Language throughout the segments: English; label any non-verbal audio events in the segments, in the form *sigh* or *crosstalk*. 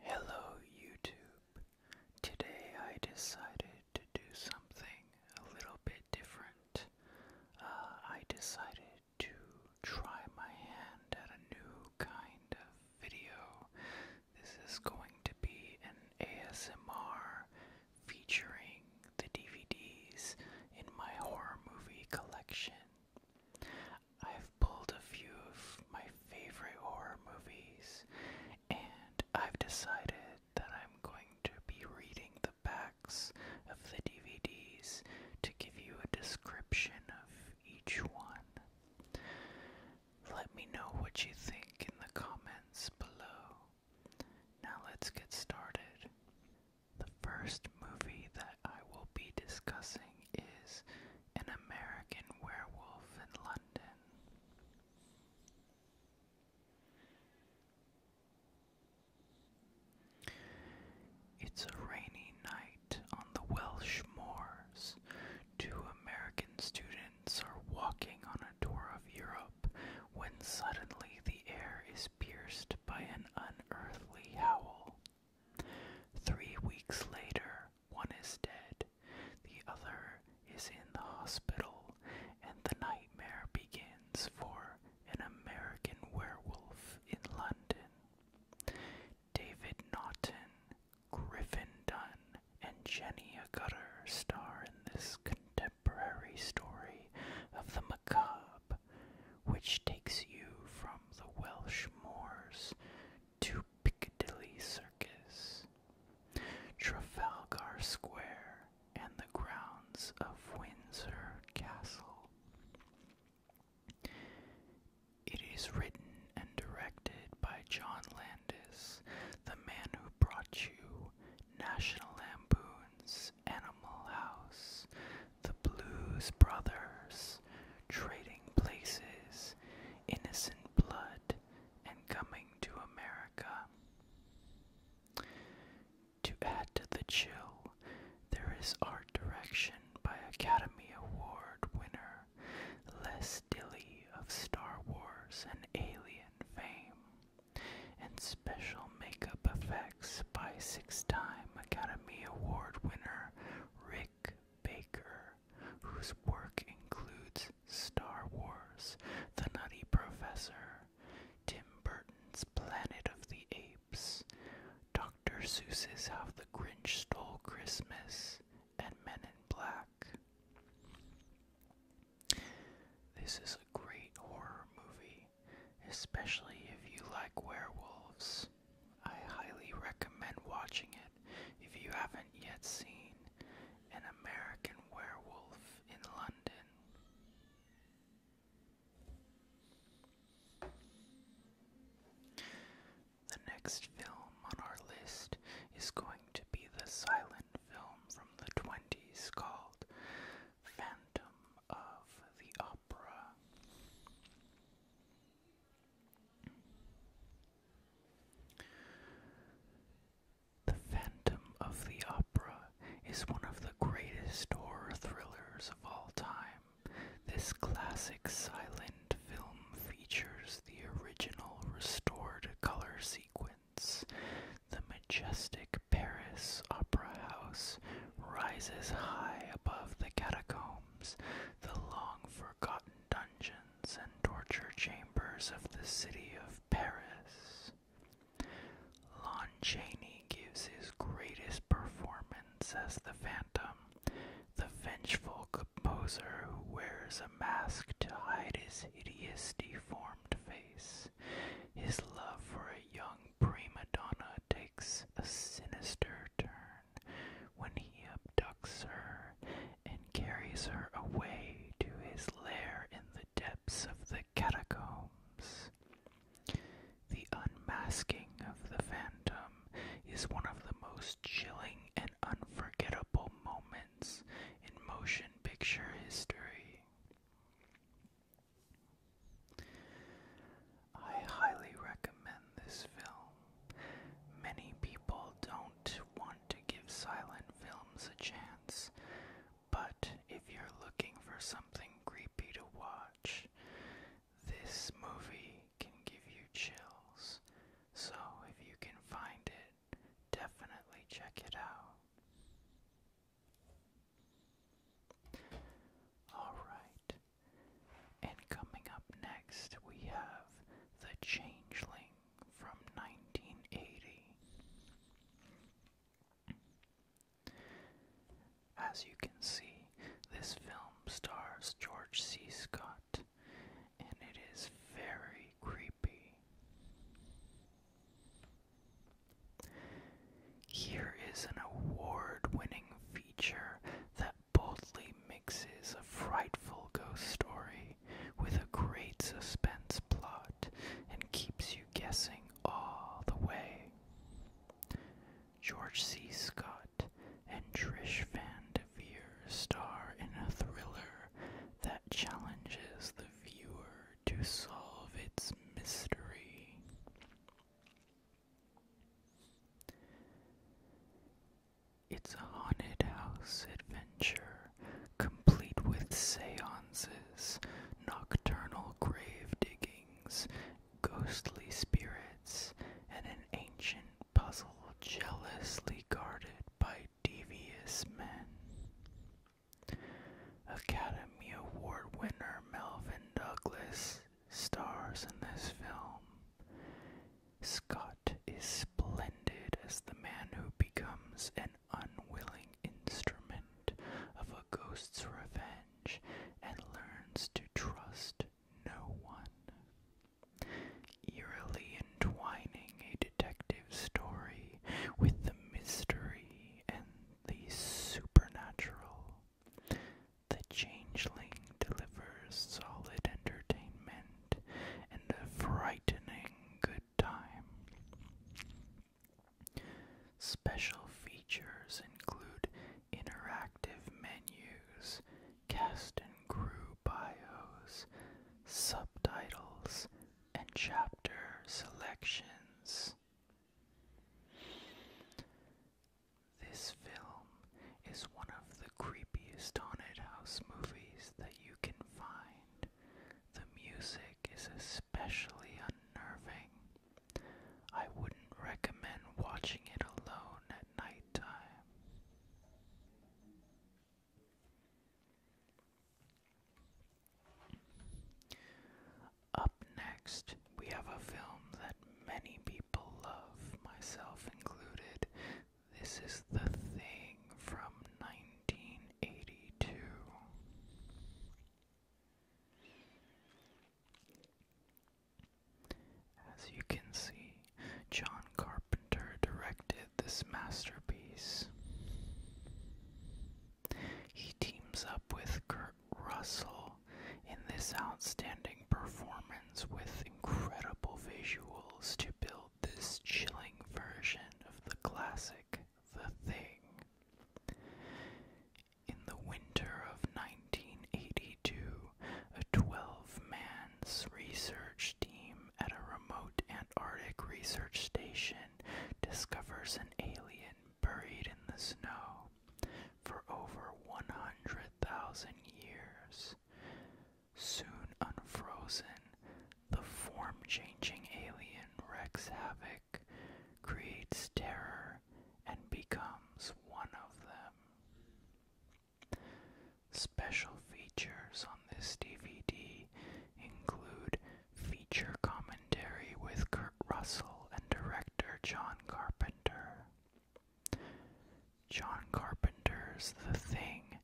Hello YouTube. Today I decided to do something a little bit different. Uh, I decided to try my hand at a new kind of video. This is going to be an ASMR featuring the DVDs in my horror movie collection. I've pulled a few of my favorite horror movies, and I've decided that I'm going to be reading the backs of the DVDs to give you a description of each one. Let me know what you think in the comments below. Now let's get started. The first movie that I will be discussing is an American Werewolf in London. It's a rainy night on the Welsh moors. Two American students are walking on a tour of Europe when suddenly the air is pierced by an unearthly howl. Three weeks later, one is dead, the other is in the hospital, and the nightmare begins for an American werewolf in London. David Naughton, Griffin Dunn, and Jenny Agutter star in this contemporary story of the macabre, which takes you from the Welsh moors to Piccadilly Circus, Trafalgar Square, and the grounds of Windsor Castle. It is written and directed by John Landis, the man who brought you National Lampoon's Animal House, The Blues Brothers, Trading Places, innocent blood and coming to America. To add to the chill, there is art direction by Academy Award winner Les Dilly of Star Wars and Alien fame, and special makeup effects by six time Academy Award winner Rick Baker, whose work includes Star Wars, The Nutty Professor, Tim Burton's Planet of the Apes, Dr. Seuss's How the Grinch Stole Christmas, and Men in Black. This is a great horror movie, especially if you like werewolves. I highly recommend watching it if you haven't yet seen An American Werewolf in London. The next film on our list is going to be the silent film from the 20s called Phantom of the Opera. The Phantom of the Opera is one of the greatest horror thrillers of all time. This classic silent film features the original restored color sequence. The majestic Paris Opera House rises high above the catacombs, the long forgotten dungeon and torture chambers of the city of Paris. Lon Chaney gives his greatest performance as the Phantom, the vengeful composer who wears a mask to hide his hideous, deformed face. His love for a young prima donna takes a sinister turn when he abducts her and carries her away to his lair in the depths of the catacombs. The unmasking of the phantom is one of the most chilling and unforgettable moments in motion picture history. I highly recommend this film. Many people don't want to give silent films a chance, but if you're looking for something creepy to watch, this movie can give you chills. So if you can find it, definitely check it out. Alright, and coming up next, we have The Changeling from 1980. As you can see, this film stars George C. Scott, and it is very creepy. Here is an award winning feature that boldly mixes a frightful ghost story with a great suspense plot and keeps you guessing all the way. George C. Scott and Trish Van DeVere star in a thriller that challenges the viewer to solve its mystery. It's a haunted house adventure, complete with seances, nocturnal grave diggings, ghostly spirits, and an ancient puzzle jealously guarded by devious men. Academy Award winner Melvin Douglas stars in this film. Scott is splendid as the man who becomes an unwilling instrument of a ghost's revenge and learns to trust no one. Eerily entwining a detective story with the mystery and the supernatural, The Changeling delivers solid entertainment and a frightening good time. Special features include interactive menus, cast and crew bios, subtitles, and chapter selections. This film is one of the creepiest haunted house movies that you can find. The music is especially unnerving. I wouldn't recommend watching it alone at nighttime. Up next, we have a film that many people love, myself included, this is the thing from 1982. As you can see, John Carpenter directed this masterpiece. He teams up with Kurt Russell in this outstanding performance with incredible visuals to build this chilling version of the classic The Thing. In the winter of 1982, a 12 man research team at a remote Antarctic research station discovers an alien buried in the snow for over 100,000 years. Soon unfrozen, the form changing alien wreaks havoc, creates terror, and becomes one of them. Special features on this DVD include feature commentary with Kurt Russell and director John Carpenter. John Carpenter's The Thing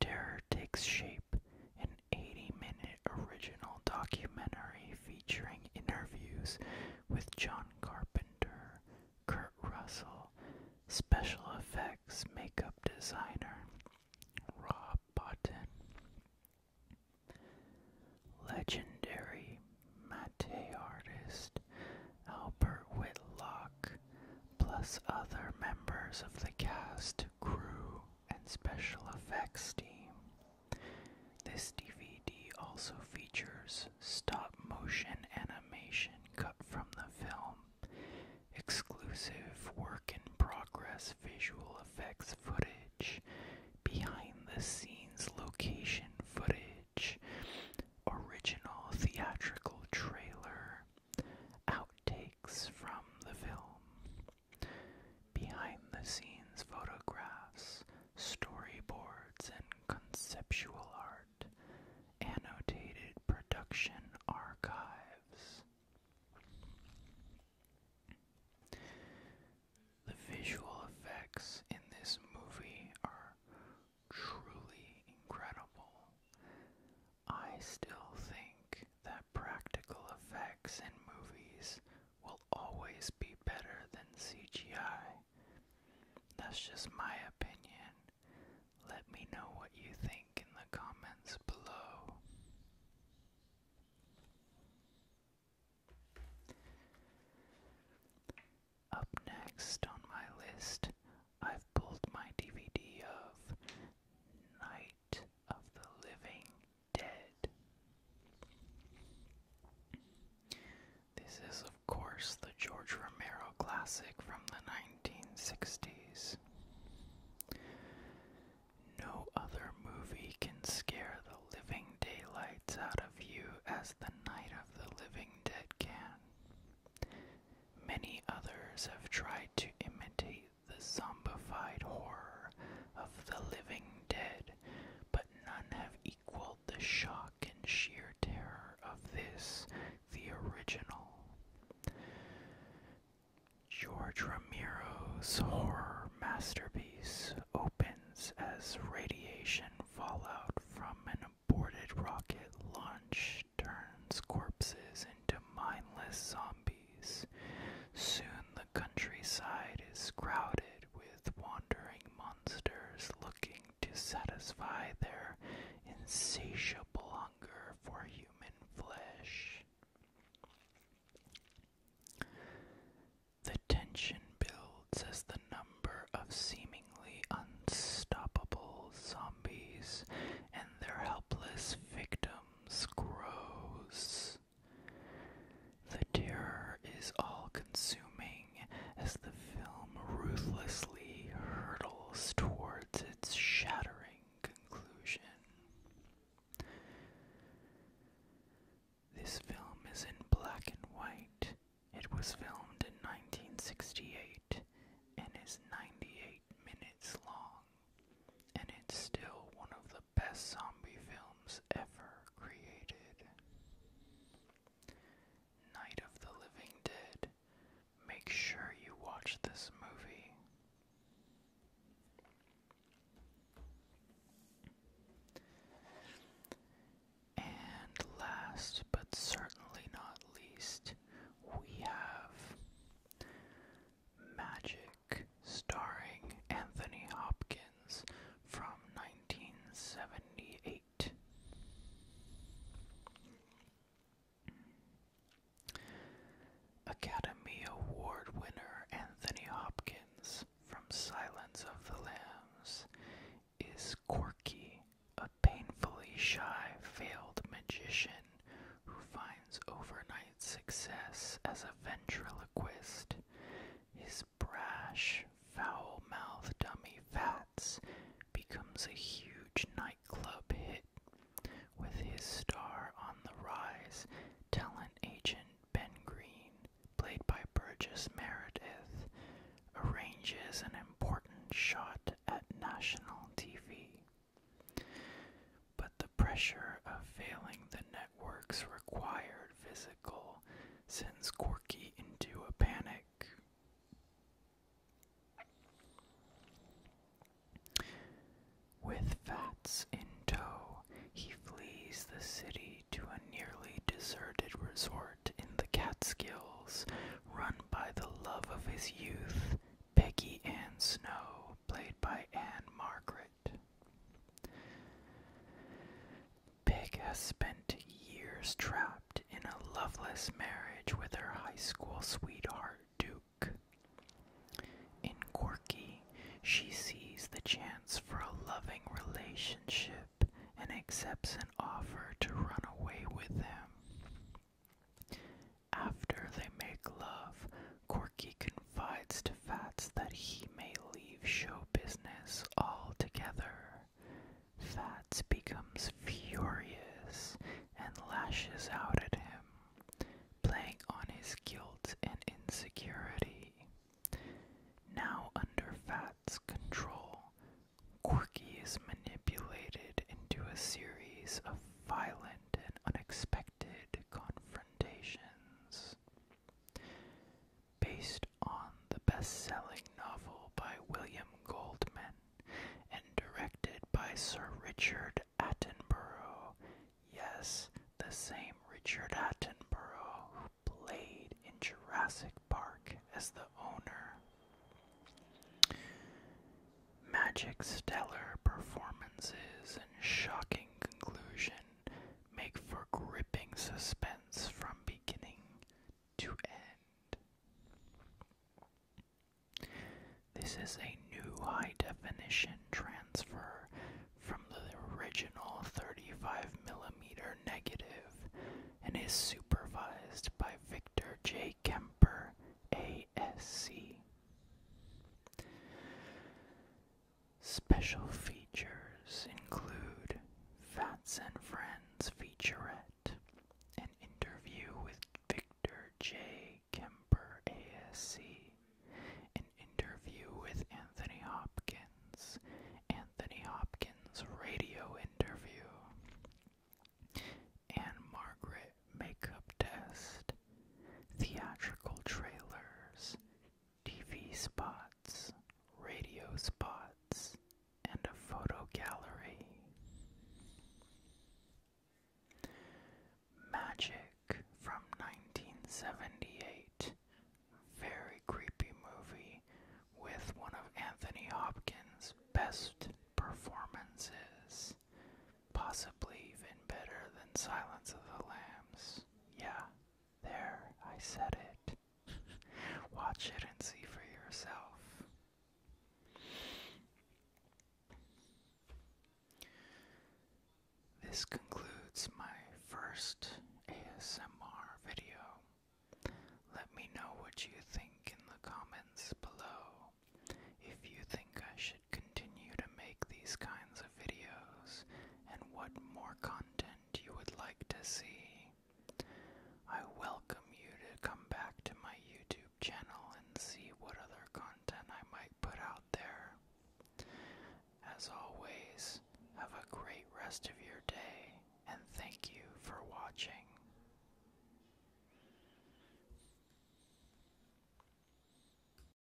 Terror takes shape, an 80-minute original documentary featuring interviews with John Carpenter, Kurt Russell, special effects makeup designer Rob Bottin, legendary matte artist Albert Whitlock, plus other members of the cast, crew, and special effects team. This DVD also features stop motion animation cut from the film, exclusive work in progress visual effects footage, behind the scenes location footage, original theatrical trailer, outtakes from the film. Behind the scenes photographs, storyboards, and conceptual art, annotated production archives. The visual effects in this movie are truly incredible. I still think that practical effects in movies will always be better than CGI. That's just my opinion. Let me know what you think in the comments below. Up next on my list, I've pulled my DVD of Night of the Living Dead. This is, of course, the George Romero classic from the 1960s. No other movie can scare the living daylights out of you as the Night of the Living Dead can. Many others have tried to imitate the zombified horror of the living dead, but none have equaled the shock and sheer terror of this, the original. George Romero's horror masterpiece opens as radiation fallout from an aborted rocket launch turns corpses into mindless zombies. Soon the countryside is crowded with wandering monsters looking to satisfy their insatiable hunger for human flesh. The tension builds as the number of seemingly unstoppable zombies and their helpless victims grows. The terror is all consuming as the film ruthlessly hurtles towards its shattering conclusion. This film is in black and white. It was filmed in 1968 and is 98 minutes long and it's still one of the best zombie films ever created. Night of the Living Dead. Make sure you watch this movie. And last but certainly not least, we have Magic, starring Anthony Hopkins from 1978. Academy Award winner Anthony Hopkins from Silence of the Lambs is quirky, a painfully shy failed magician who finds overnight success as a ventriloquist. His brash, foul mouthed dummy Fats becomes a huge nightclub hit, with his star on the rise, talent agent Ben Green, played by Burgess Meredith, arranges an important shot at national TV. But the pressure of failing the networks required physical sends Corky into a panic. With Fats in tow, he flees the city to a nearly deserted resort in the Catskills, run by the love of his youth, Peggy Ann Snow, played by Anne Margaret. Peg has spent years trapped in a loveless marriage with her high school sweetheart, Duke. In Corky, she sees the chance for a loving relationship and accepts an offer to run away with him. After they make love, Quirky confides to Fats that he may leave show business altogether. Fats becomes furious and lashes out at him, playing on his guilt and insecurity. Now under Fats' control, Quirky is manipulated into a series of violent and unexpected confrontations. Based on the best selling novel by William Goldman and directed by Sir Richard Attenborough. Yes, the same Richard Attenborough who played in Jurassic Park as the owner. Magic stellar performances and shocking conclusion make for gripping suspense from beginning to end. This is a new high definition transfer from the original 35mm negative and is supervised by Victor J. Kemper, ASC. Special features include Fats and Friends featurette, an interview with Victor J. Kemper ASC, an interview with Anthony Hopkins, Anthony Hopkins radio interview, and Margaret makeup test, theatrical trailers, TV spots, radio spots, and a photo gallery. Magic from 1978. Very creepy movie with one of Anthony Hopkins' best performances possibly even better than Silence of the Lambs. Yeah, there, I said it. *laughs* Watch it and see for yourself. This concludes my first ASMR video. Let me know what you think in the comments below. If you think I should continue to make these kinds of videos and what more content you would like to see. I welcome you to come back to my YouTube channel and see what other content I might put out there. As always, have a great rest of your day and thank you for watching.